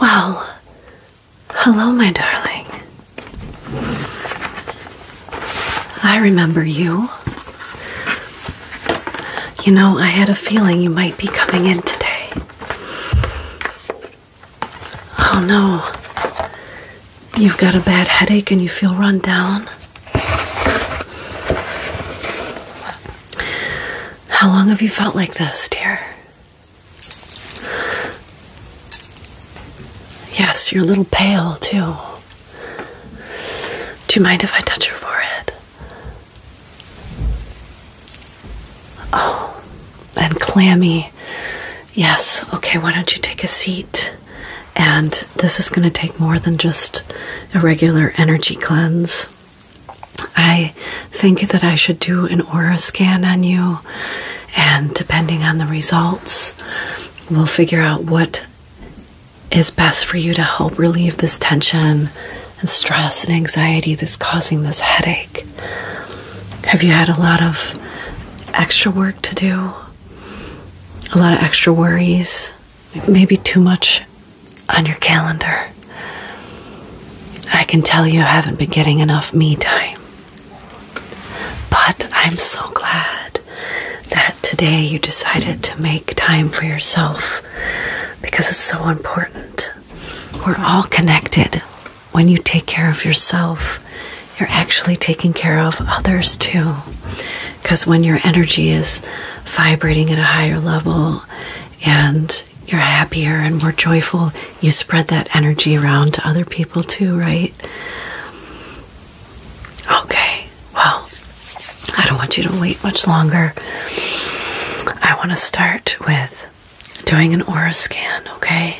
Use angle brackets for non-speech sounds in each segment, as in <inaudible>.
Well, hello, my darling. I remember you. You know, I had a feeling you might be coming in today. Oh no. You've got a bad headache and you feel run down. How long have you felt like this, dear? Yes, you're a little pale, too. Do you mind if I touch your forehead? Oh, and clammy. Yes, okay, why don't you take a seat? And this is going to take more than just a regular energy cleanse. I think that I should do an aura scan on you, and depending on the results, we'll figure out what is best for you to help relieve this tension and stress and anxiety that's causing this headache? Have you had a lot of extra work to do? A lot of extra worries? Maybe too much on your calendar? I can tell you haven't been getting enough me time. But I'm so glad that today you decided to make time for yourself because it's so important. We're all connected. When you take care of yourself, you're actually taking care of others too. Because when your energy is vibrating at a higher level and you're happier and more joyful, you spread that energy around to other people too, right? Okay, well, I don't want you to wait much longer. I want to start with doing an aura scan, okay?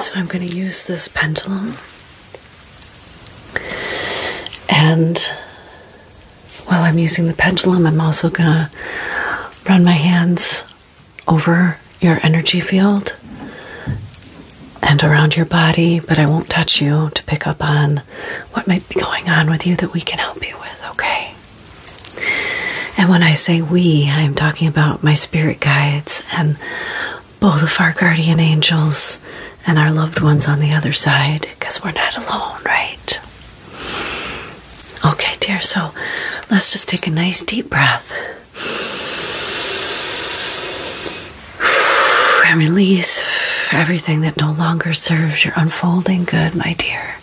So I'm going to use this pendulum and while I'm using the pendulum, I'm also going to run my hands over your energy field and around your body, but I won't touch you to pick up on what might be going on with you that we can help you with, okay? And when I say we, I am talking about my spirit guides and both of our guardian angels and our loved ones on the other side, because we're not alone, right? Okay, dear, so let's just take a nice deep breath and release everything that no longer serves your unfolding good, my dear.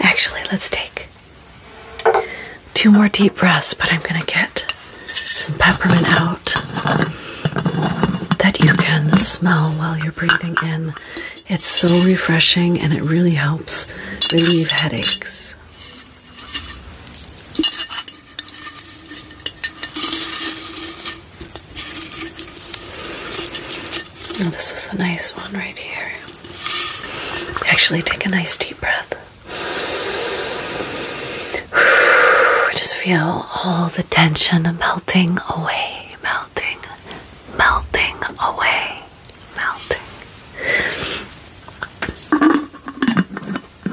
Actually, let's take two more deep breaths, but I'm going to get some peppermint out that you can smell while you're breathing in. It's so refreshing and it really helps relieve headaches this is a nice one right here. Actually, take a nice deep breath. <sighs> Just feel all the tension melting away, melting, melting away, melting. All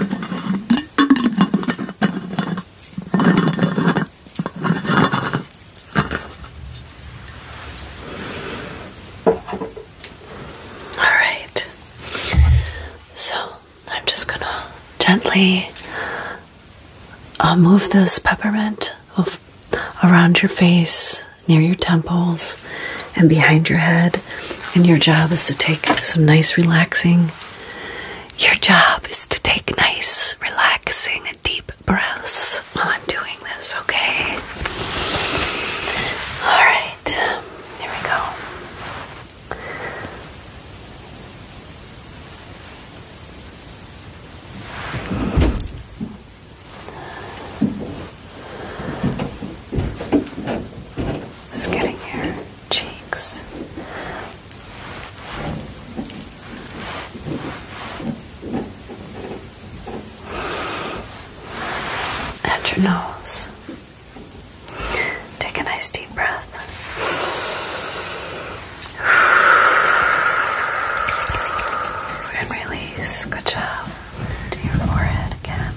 right. So I'm just going to gently uh, move this peppermint around your face, near your temples, and behind your head. And your job is to take some nice, relaxing your job is to take nice, relaxing, deep breaths while I'm doing this, okay? Alright, here we go. It's getting here cheeks. At your nose. Take a nice deep breath. And release. Good job. To your forehead again.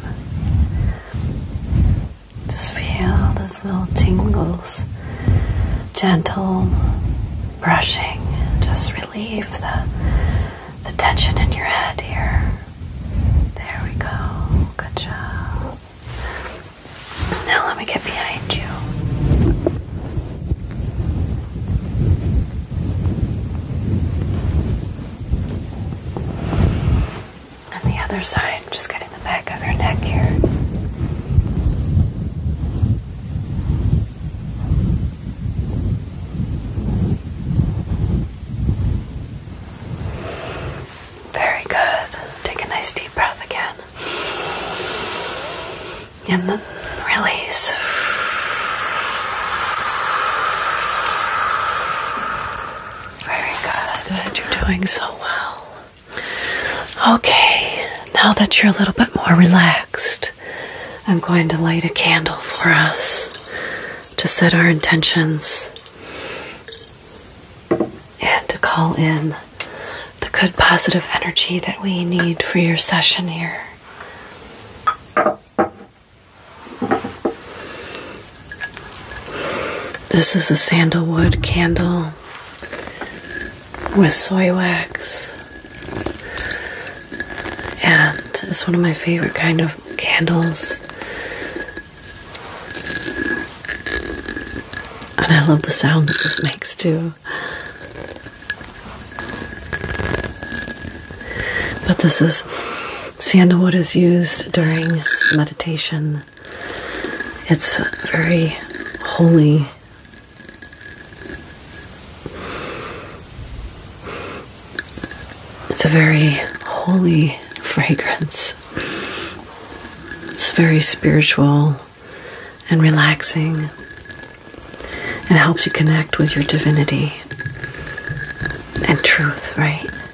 Just feel those little tingles, gentle brushing, just relieve the, the tension in your head here. There we go. Good job. Now let me get behind you on the other side, just getting the back of your neck here. Very good. Take a nice deep breath again. And then release. Very good. You're doing so well. Okay, now that you're a little bit more relaxed, I'm going to light a candle for us to set our intentions and to call in the good positive energy that we need for your session here. This is a sandalwood candle with soy wax. And it's one of my favorite kind of candles. And I love the sound that this makes too. But this is sandalwood is used during meditation it's very holy. It's a very holy fragrance. It's very spiritual and relaxing. It helps you connect with your divinity and truth, right?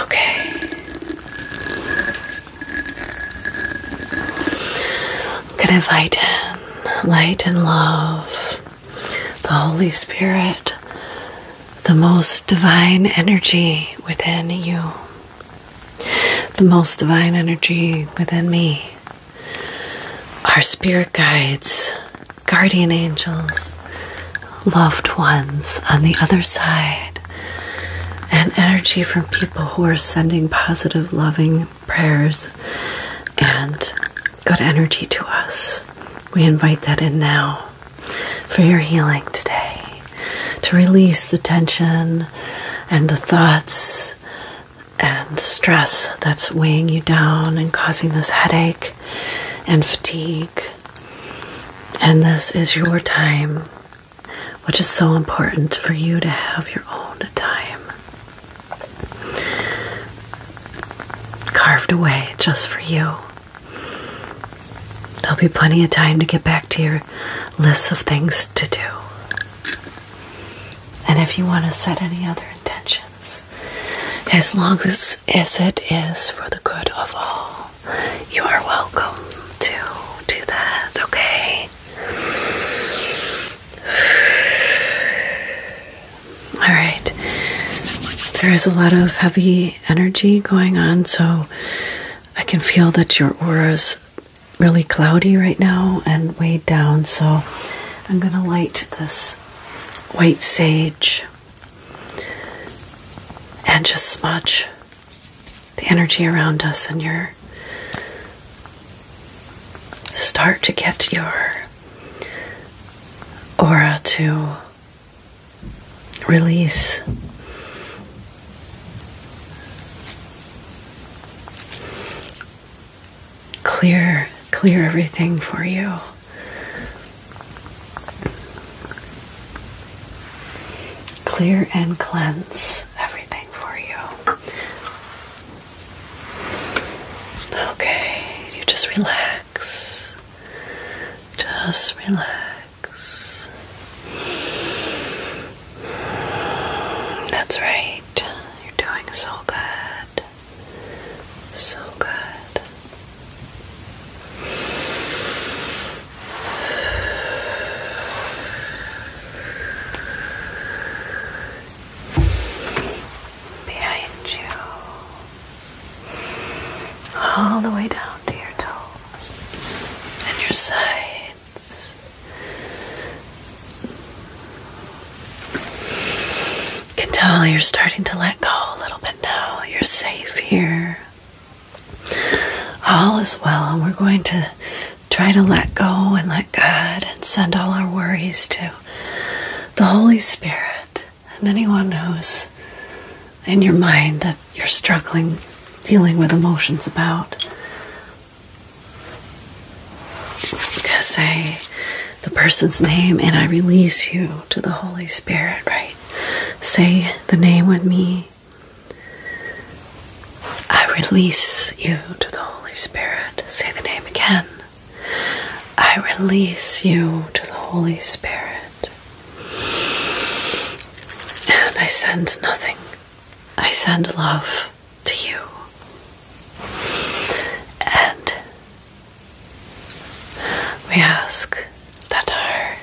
Okay. I'm going invite in light and love, the Holy Spirit, the most divine energy within you, the most divine energy within me, our spirit guides, guardian angels, loved ones on the other side, and energy from people who are sending positive, loving prayers and good energy to us. We invite that in now for your healing today to release the tension and the thoughts and stress that's weighing you down and causing this headache and fatigue and this is your time, which is so important for you to have your own time carved away just for you. There'll be plenty of time to get back to your list of things to do. And if you want to set any other intentions, as long as, it is for the good of all you are welcome to do that, okay? Alright, there is a lot of heavy energy going on, so I can feel that your aura is really cloudy right now and weighed down, so I'm going to light this white sage and just smudge the energy around us and your start to get your aura to release clear clear everything for you Clear and cleanse everything for you. Okay, you just relax. Just relax. That's right. You're doing so good. So good. Behind you, all the way down to your toes and your sides can tell you're starting to let go a little bit now. You're safe here. All is well, and we're going to try to let go and let God and send all our worries to the Holy Spirit and anyone who's in your mind that you're struggling, dealing with emotions about. Say the person's name, and I release you to the Holy Spirit right Say the name with me. I release you to the Holy Spirit. Say the name again. I release you to the Holy Spirit. And I send nothing. I send love to you. And we ask that our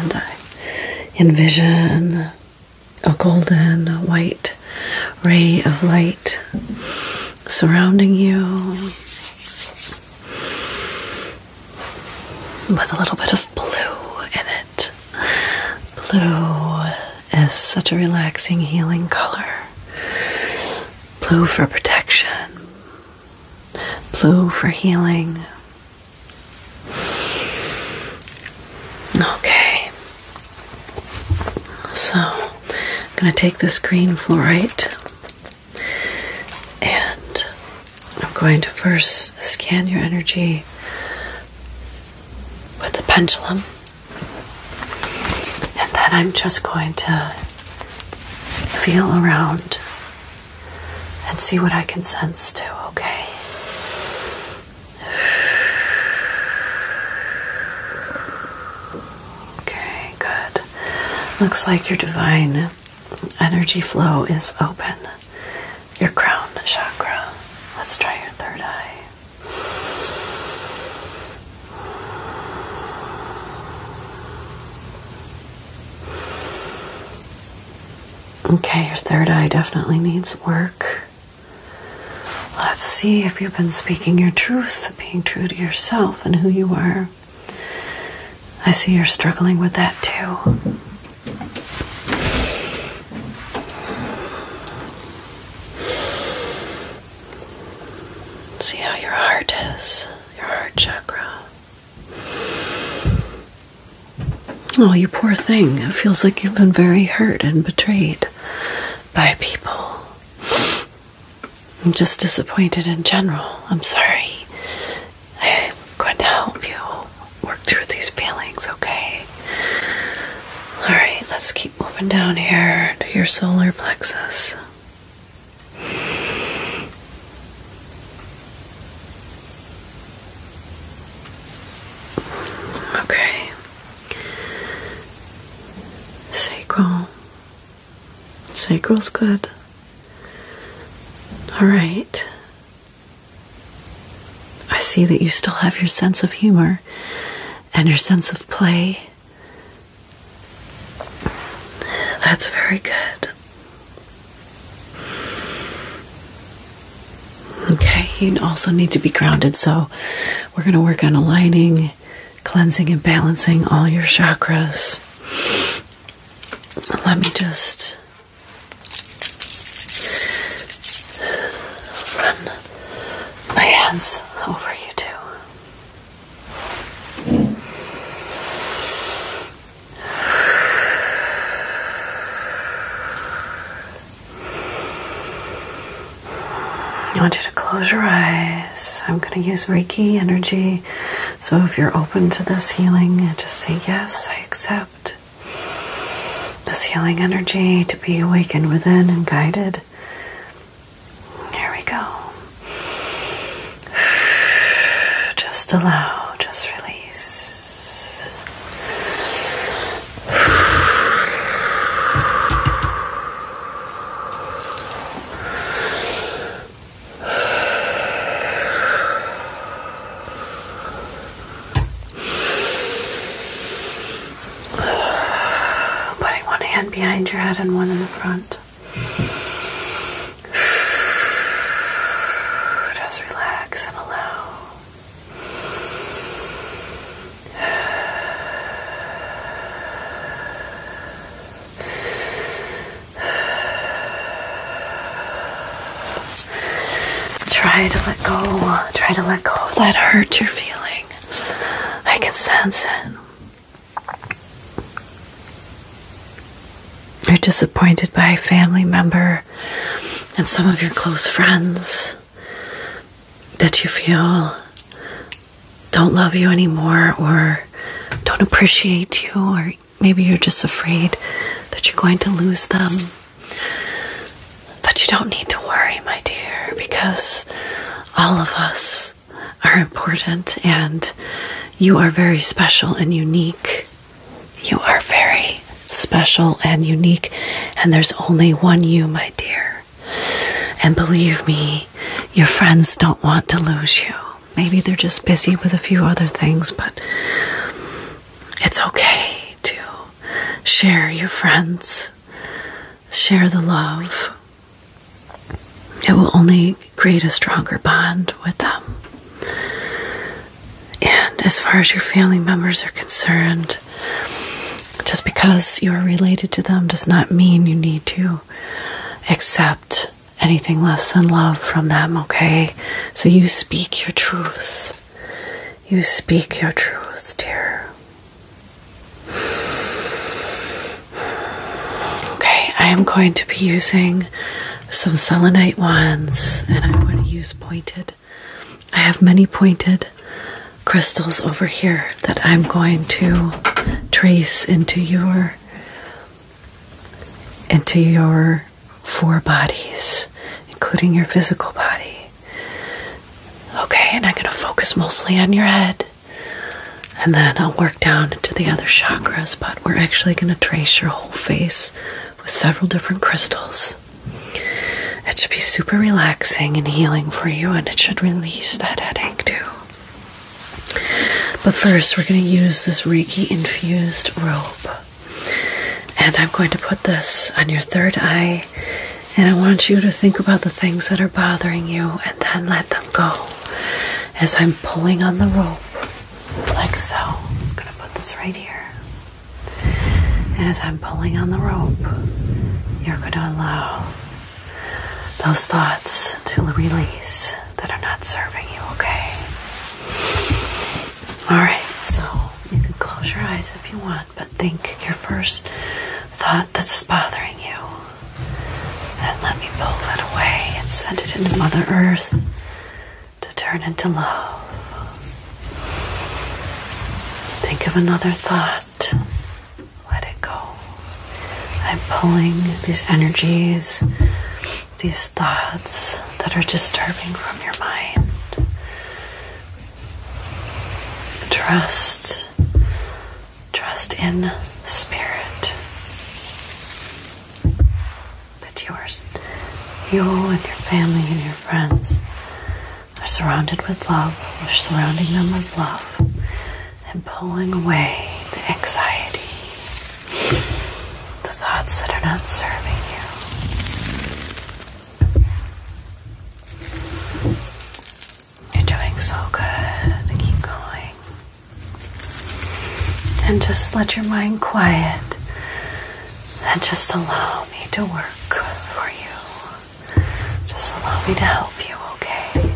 and I envision a golden white ray of light surrounding you with a little bit of blue in it. Blue is such a relaxing, healing color blue for protection, blue for healing. Okay, so I'm going to take this green fluorite and I'm going to first scan your energy with the pendulum and then I'm just going to feel around and see what I can sense too, okay? Okay, good. Looks like your divine energy flow is open. Your crown chakra. Let's try your third eye. Okay, your third eye definitely needs work. Let's see if you've been speaking your truth, being true to yourself and who you are. I see you're struggling with that too. See how your heart is, your heart chakra. Oh, you poor thing. It feels like you've been very hurt and betrayed by people. I'm just disappointed in general. I'm sorry. I'm going to help you work through these feelings, okay? All right, let's keep moving down here to your solar plexus. Okay. Sacral. Sacral's good. All right. I see that you still have your sense of humor and your sense of play that's very good. Okay, you also need to be grounded, so we're going to work on aligning, cleansing, and balancing all your chakras. Let me just run my hands over you, too. I want you to close your eyes. I'm going to use Reiki energy. So if you're open to this healing, just say, Yes, I accept this healing energy to be awakened within and guided there we go. Just allow, just release. Putting one hand behind your head and one in the front. <sighs> Just relax and allow. <sighs> Try to let go. Try to let go of that hurt you're feeling. I can sense it. You're disappointed by a family member and some of your close friends that you feel don't love you anymore or don't appreciate you, or maybe you're just afraid that you're going to lose them. But you don't need to worry, my dear, because all of us are important, and you are very special and unique. You are very special and unique, and there's only one you, my dear. And believe me, your friends don't want to lose you. Maybe they're just busy with a few other things, but it's okay to share your friends, share the love, it will only create a stronger bond with them. And as far as your family members are concerned, just because you are related to them does not mean you need to accept anything less than love from them, okay? So you speak your truth. You speak your truth, dear. Okay, I am going to be using some selenite wands and I'm going to use pointed. I have many pointed crystals over here that I'm going to trace into your into your four bodies, including your physical body. Okay, and I'm going to focus mostly on your head. And then I'll work down into the other chakras, but we're actually going to trace your whole face with several different crystals. It should be super relaxing and healing for you, and it should release that headache too. But first, we're going to use this Reiki infused rope. And I'm going to put this on your third eye and I want you to think about the things that are bothering you and then let them go as I'm pulling on the rope, like so. I'm going to put this right here. And as I'm pulling on the rope, you're going to allow those thoughts to release that are not serving you, okay? Alright, so you can close your eyes if you want but think your first thought that's bothering you. And let me pull that away and send it into Mother Earth to turn into love. Think of another thought. Let it go. I'm pulling these energies, these thoughts that are disturbing from your mind. Trust. Trust in spirit that yours, you and your family and your friends are surrounded with love. We're surrounding them with love and pulling away the anxiety, the thoughts that are not serving you. You're doing so good. Keep going. And just let your mind quiet and just allow me to work for you. Just allow me to help you, okay?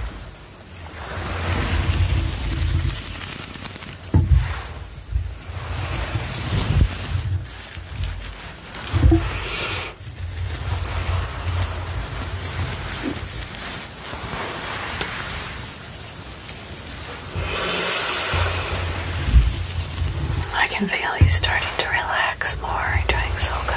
I can feel you starting to relax more. You're doing so good.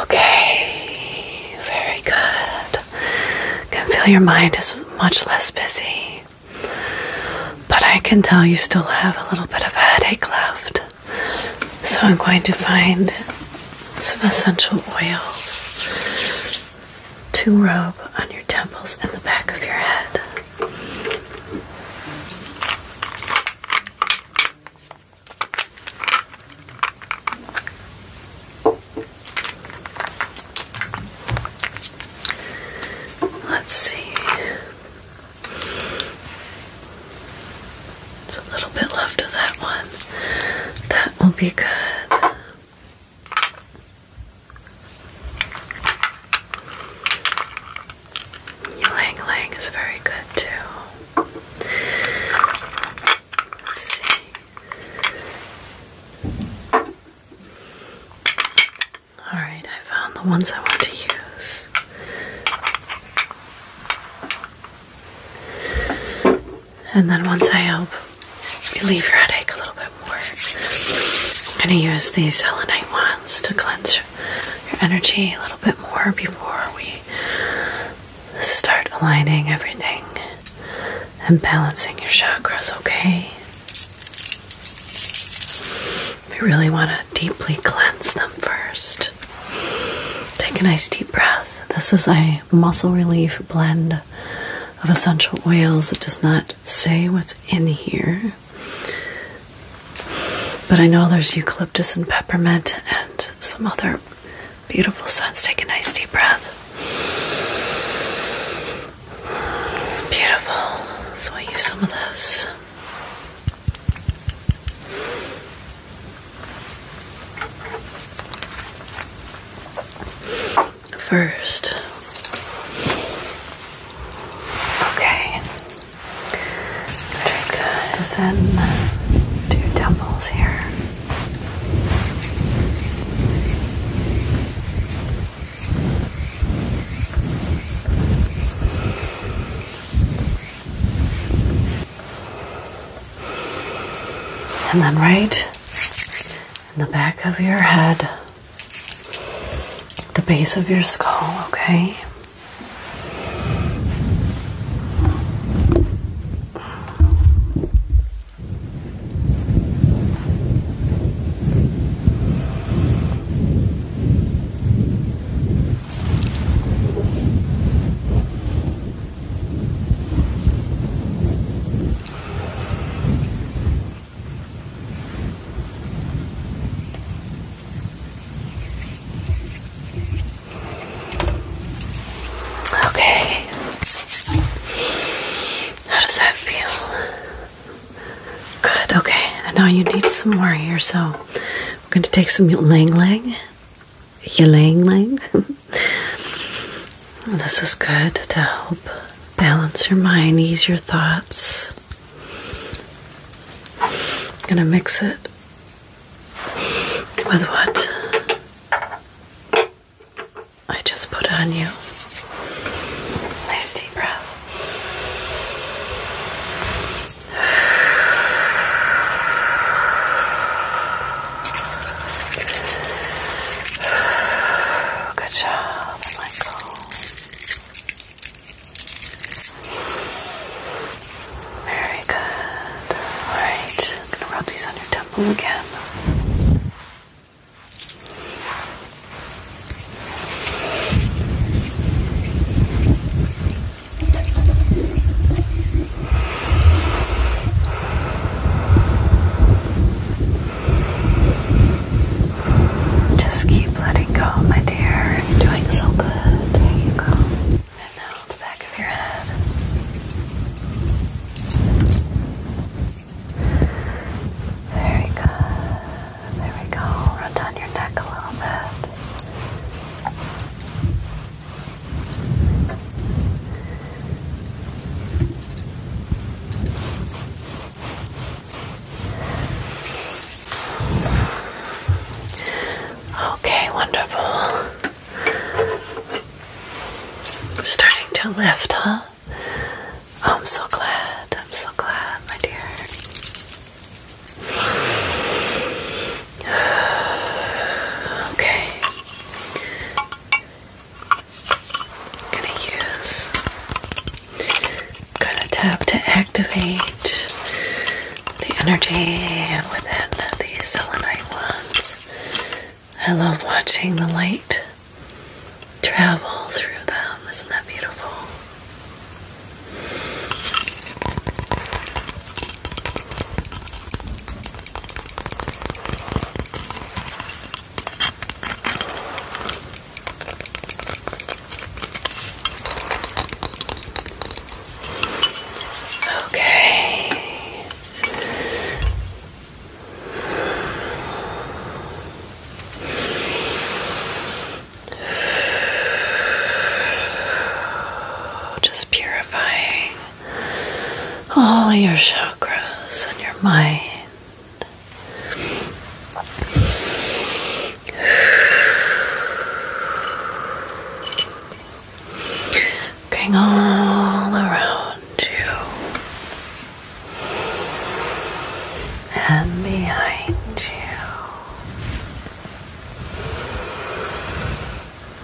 Okay, very good. Can feel your mind is much less busy, but I can tell you still have a little bit of headache left. So I'm going to find some essential oils to rub on your temples and the back of your head. Let's see. It's a little bit left of that one. That will be good. Ylang Ylang is very good too. Let's see. Alright, I found the ones I want to use. And then once I help relieve your headache a little bit more, I'm going to use these selenite wands to cleanse your energy a little bit more before we start aligning everything and balancing your chakras, okay? We really want to deeply cleanse them first. Take a nice deep breath. This is a muscle relief blend of essential oils. It does not say what's in here. But I know there's eucalyptus and peppermint and some other beautiful scents. Take a nice deep breath. Beautiful. So I use some of this first. Okay. just gonna send two temples here and then right in the back of your head, the base of your skull, okay? Okay. How does that feel? Good. Okay. now you need some more here, so we're going to take some ylang ylang, ylang ylang, <laughs> This is good to help balance your mind, ease your thoughts. going to mix it with what I just put on you. Nice deep breath. Good job, and Very good. Alright, I'm gonna rub these on your temples mm-hmm. again. Just keep letting go, my dear. You're doing so good. There you go. And now the back of your head. Very good. There we go. Run down your neck a little bit. Okay, wonderful. Starting to lift, huh? I'm so glad. I'm so glad, my dear. Okay. gonna use gonna tap to activate the energy within the selenite ones. I love watching the light travel through them. Isn't that beautiful? Okay. <sighs> Just purifying all your chakras and your mind. Going all around you and behind you.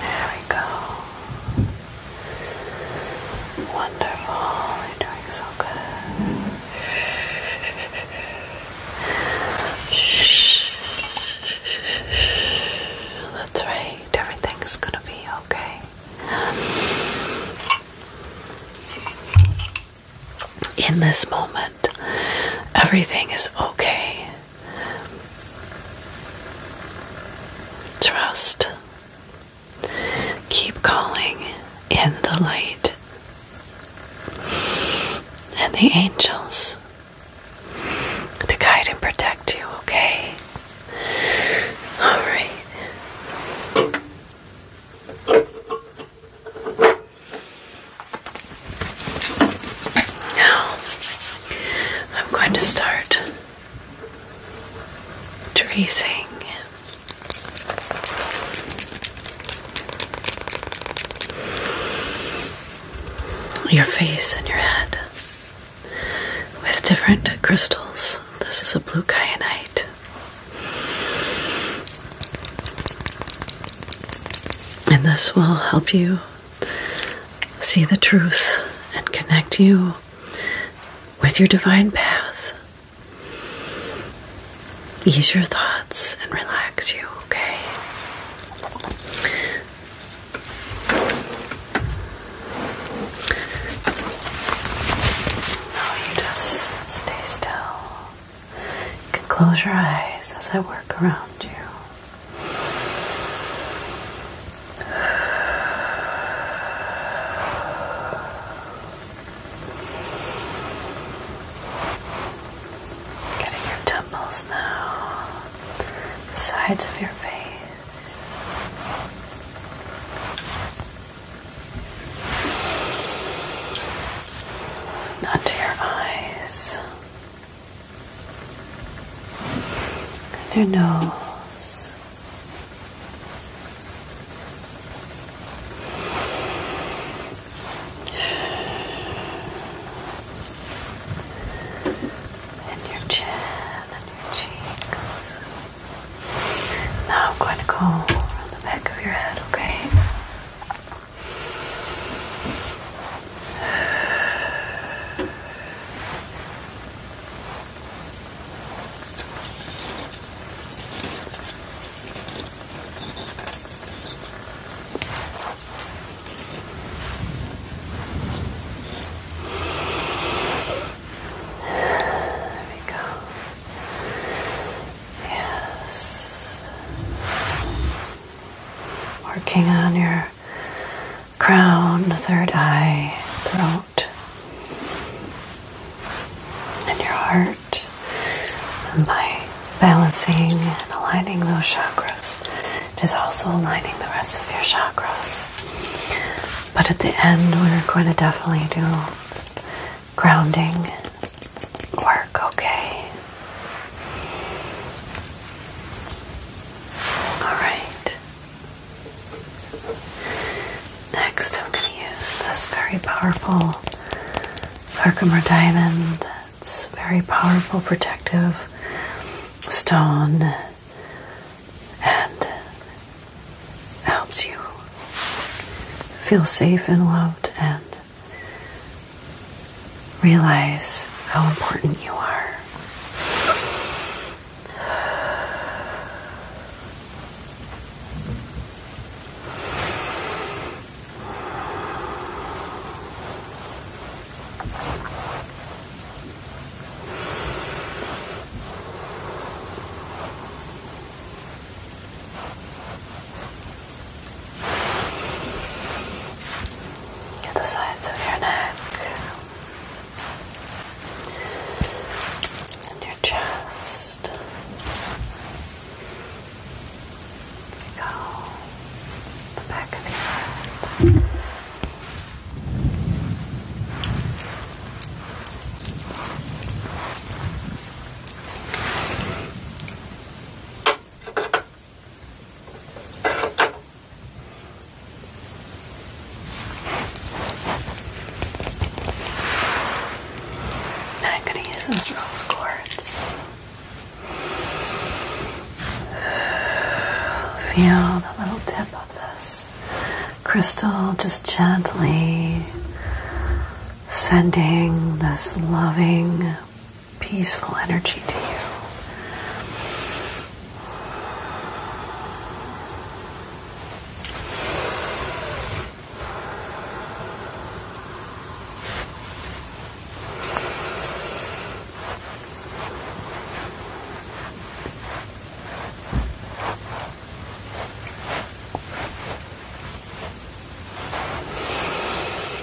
There we go. Wonderful. doing so good. That's right. Everything's gonna be okay. In this moment, everything is okay. Trust. Keep calling in the light and the angels to guide and protect you, okay? All right. Now, I'm going to start tracing your face and your head with different crystals. This is a blue kyanite. And this will help you see the truth and connect you with your divine path. Ease your thoughts and relax you, okay? Now you just stay still. You can close your eyes as I work around you. Getting your temples now, sides of your face. Under your eyes, and her nose. And your chin and your cheeks. Now I'm going to go around the back of your head, okay? There we go. Yes working on your crown, third eye, throat, and your heart. And by balancing and aligning those chakras, it is also aligning the rest of your chakras. But at the end, we're going to definitely do grounding work, okay? Alright. Next, I'm going to use this very powerful Herkimer diamond. It's very powerful, protective stone and helps you feel safe and loved and Realize how important you are. Get the sides of your neck and your chest. go. The back of your head. I'm going to use those rose quartz. Feel the little tip of this crystal just gently sending this loving peaceful energy to you.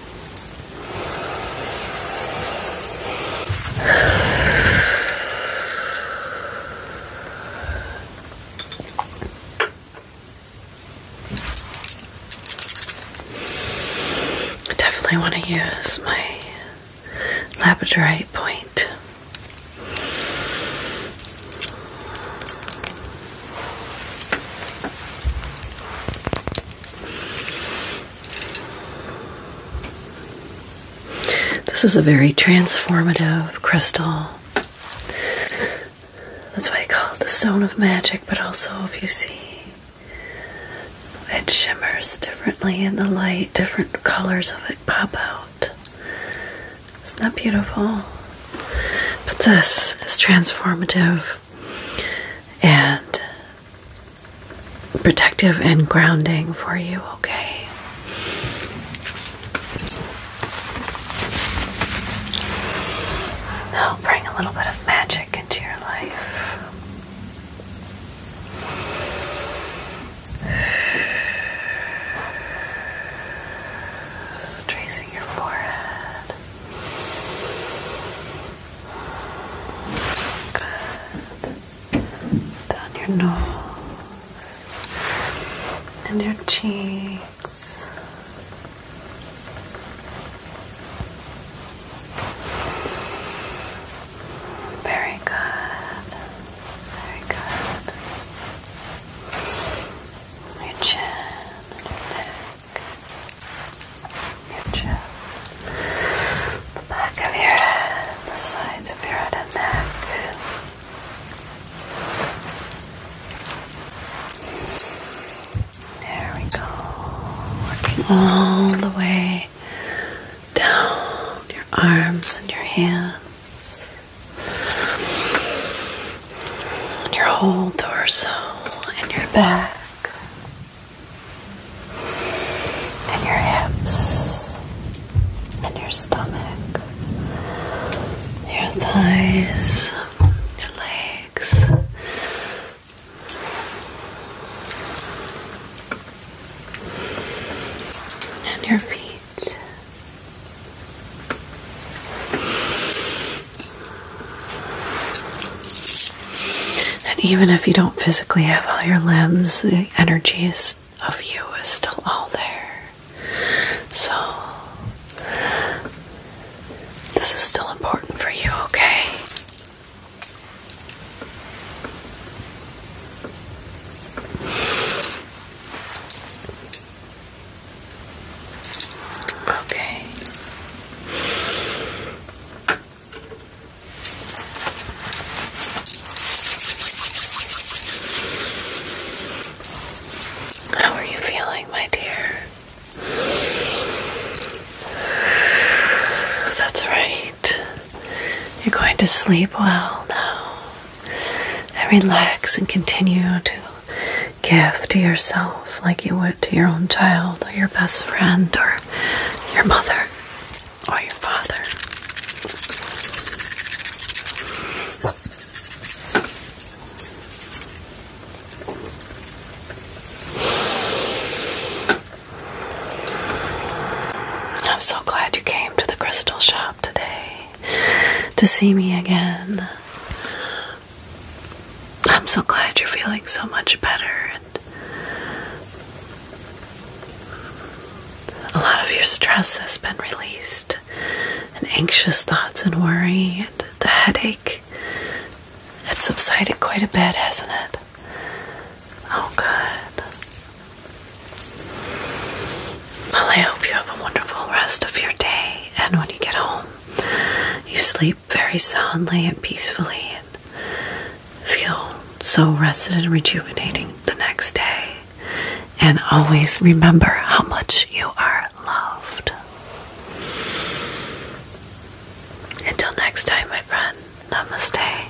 I definitely want to use my labradorite point. This is a very transformative crystal. That's why I call it the stone of magic, but also if you see it shimmers differently in the light, different colors of it pop out. Isn't that beautiful? But this is transformative and protective and grounding for you, okay? Now bring a little bit of magic into your life. Tracing your forehead. Good. Down your nose and your cheeks. Very good. Very good. Your chin your chest, the back of your head, the sides of your head and neck. There we go. Working all the way down your arms and your hands, and your whole torso and your back and your hips, and your stomach, your thighs, your legs. And your feet, and even if you don't physically have all your limbs, the energies of you is still all there. So, this is still important for you, okay? Okay. How are you feeling, my dear? That's right. You're going to sleep well now. And relax and continue to give to yourself like you would to your own child or your best friend or your mother or your father. I'm so glad you came to the crystal shop today to see me again. I'm so glad you're feeling so much better a lot of your stress has been released, and anxious thoughts and worry, and the headache. It's subsided quite a bit, hasn't it? Oh, good. Well, I hope you have a wonderful rest of your day, and when you get home, you sleep very soundly and peacefully and feel so rested and rejuvenating the next day. And always remember how much you are loved. Until next time, my friend, namaste.